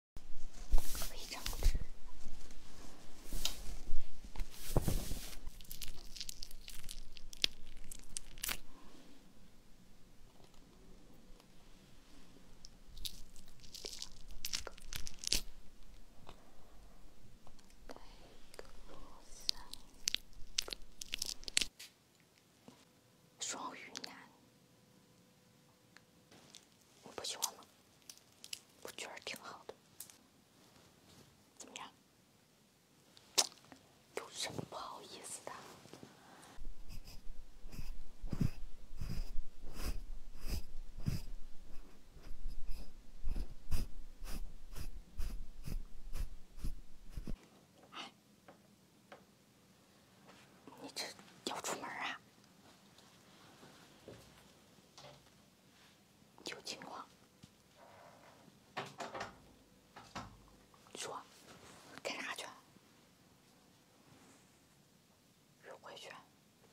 双鱼男。不喜欢吗？我觉得挺好的，怎么样？有什么不好意思的？你这要出门啊？有情况？说，干啥去？约会去？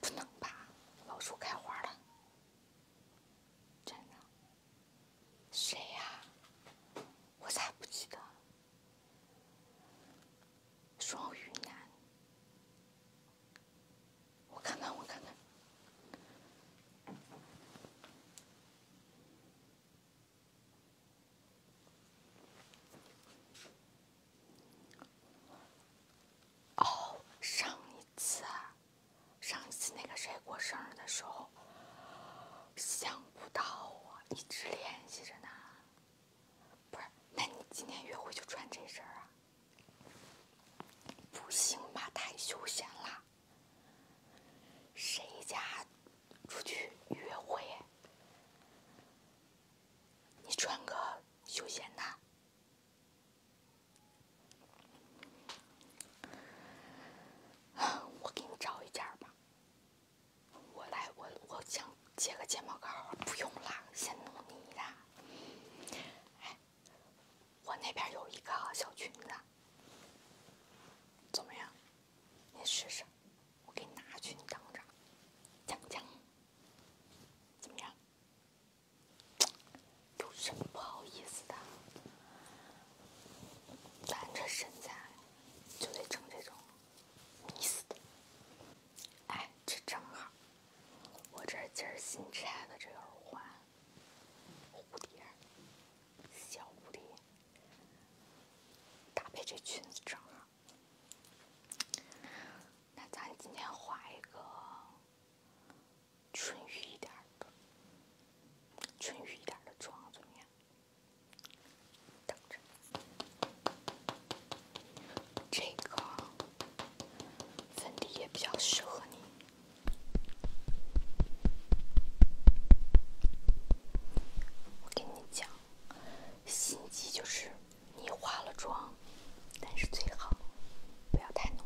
不能吧？老鼠开花了。真的？谁呀？我咋不记得？双鱼男，我看看，我看看。哦，上一次，啊，上一次那个谁过生日的时候，想不到我一直联系着呢。不是，那你今天约会就穿这身啊？不行吧，太休闲了。谁家出去约会？你穿个休闲的。我给你找一件吧。我来，我我想接个睫毛膏，不用啦，先弄你的。哎，我那边有一个小裙子，怎么样？你试试，我给你拿去，你等着，讲讲，怎么样？有什么不好意思的？咱这身材就得整这种迷死的。哎，这正好，我这今儿新拆的这耳环，蝴蝶，小蝴蝶，搭配这裙子正好。那咱今天画一个春雨一点的，春雨一点的妆怎么样？等着，这个粉底液比较适合你。我跟你讲，心机就是你化了妆，但是最好不要太浓。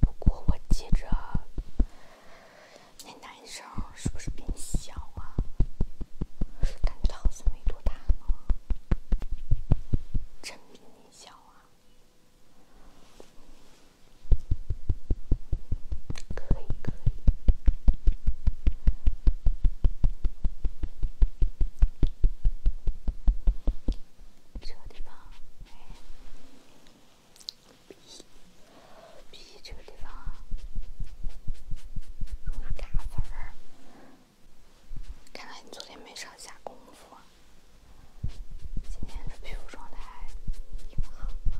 不过我记着。那男生是不是比你小啊？感觉他好像没多大呢，真比你小啊？可以可以，这个地方鼻鼻这个地方容易卡粉儿，看来你昨天没上下功夫，今天这皮肤状态挺好的。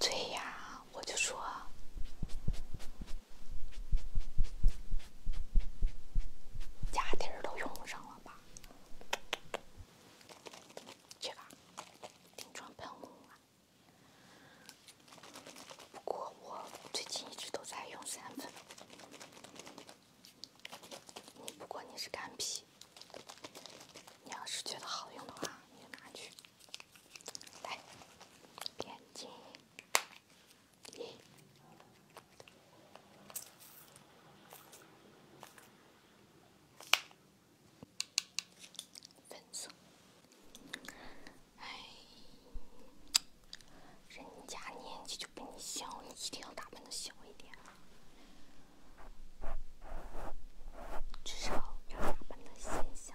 对呀，我就说，家底儿都用上了吧。这个定妆喷雾啊，不过我最近一直都在用散粉。你不过你是干皮，你要是觉得好用的话，你就拿去。来，眼睛，一。粉色，哎，人家年纪就比你小，你一定要打扮的小一点，至少要打扮的显小。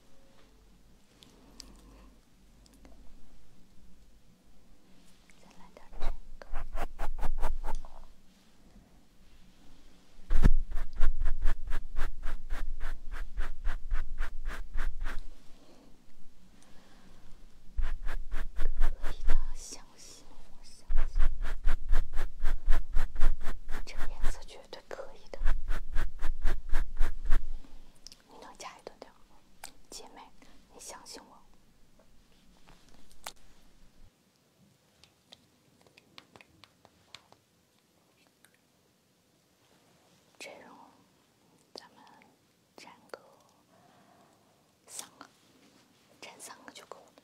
再来点这个，绝对。可以的，你能加一段掉姐妹，你相信我。这种，咱们粘个三个，粘三个就够了。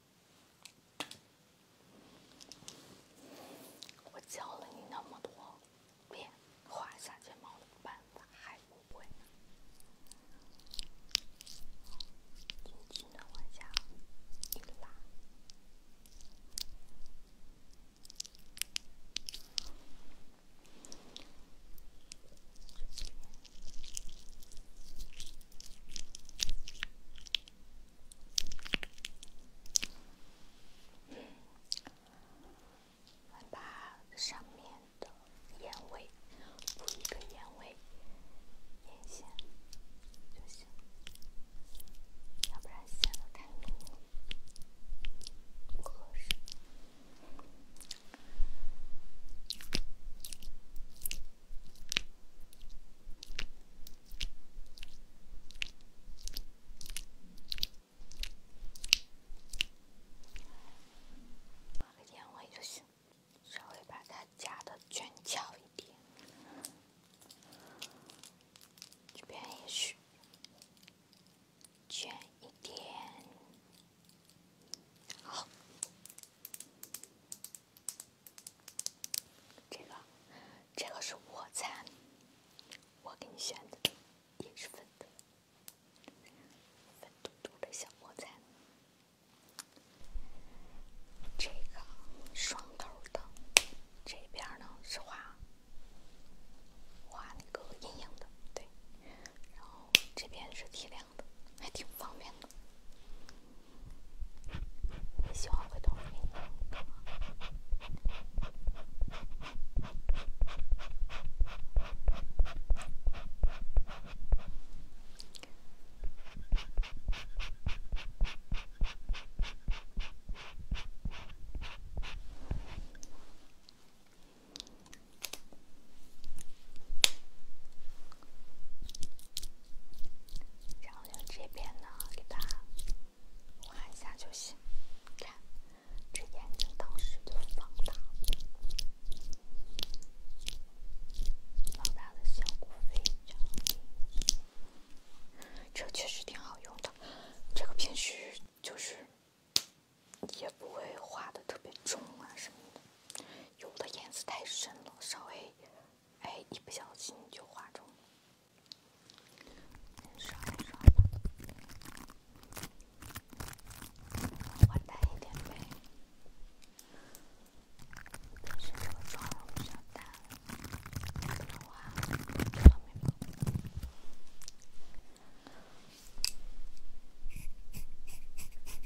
我教了你那么多遍，画下睫毛的办法，还不会？轻轻的往下一拉。先把上面的眼尾补一个眼尾，眼线就行，要不然显得太浓，不合适。画个眼尾就行，稍微把它夹的卷翘一点，这边也是卷一点，好。这个，这个是卧蚕，我给你选的，也是粉的，粉嘟嘟的小卧蚕。这个双头的，这边呢是画，画那个阴影的，对，然后这边是提亮。还挺方便的，喜欢回头给然后这边呢，给它画一下就行。看，这眼睛当时就放大了，放大的效果非常明这确实挺好用的，这个平时就是也不会画的特别重啊什么的。有的颜色太深了，稍微，哎，一不小心就画重了。刷一刷吧，换淡一点呗。平时化妆不想淡，普通化妆没用。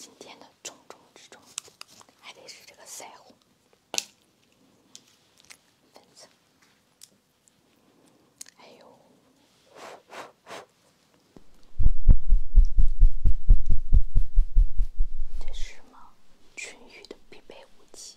今天的重中之重，还得是这个腮红、粉腮。还有。这是什么？春雨的必备武器。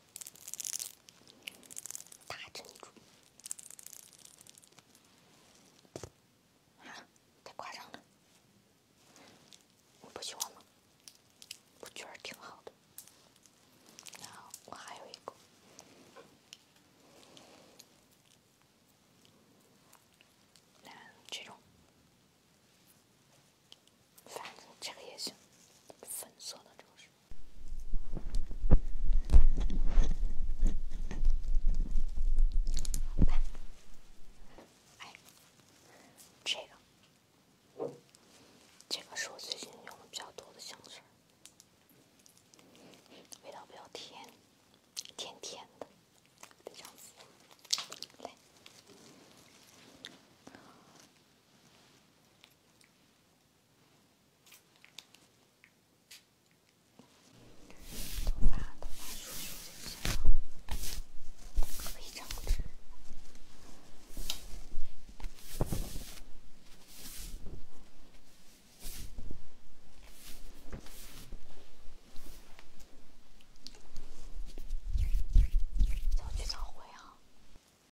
大珍珠，啊，太夸张了，我不喜欢吗？我觉得挺好的。然后我还有一个，来，这种，反正这个也行，粉色的这个是。哎，这个，这个是我最近用的比较多的香水，味道比较甜，甜甜的，这香水，来。早去早回啊。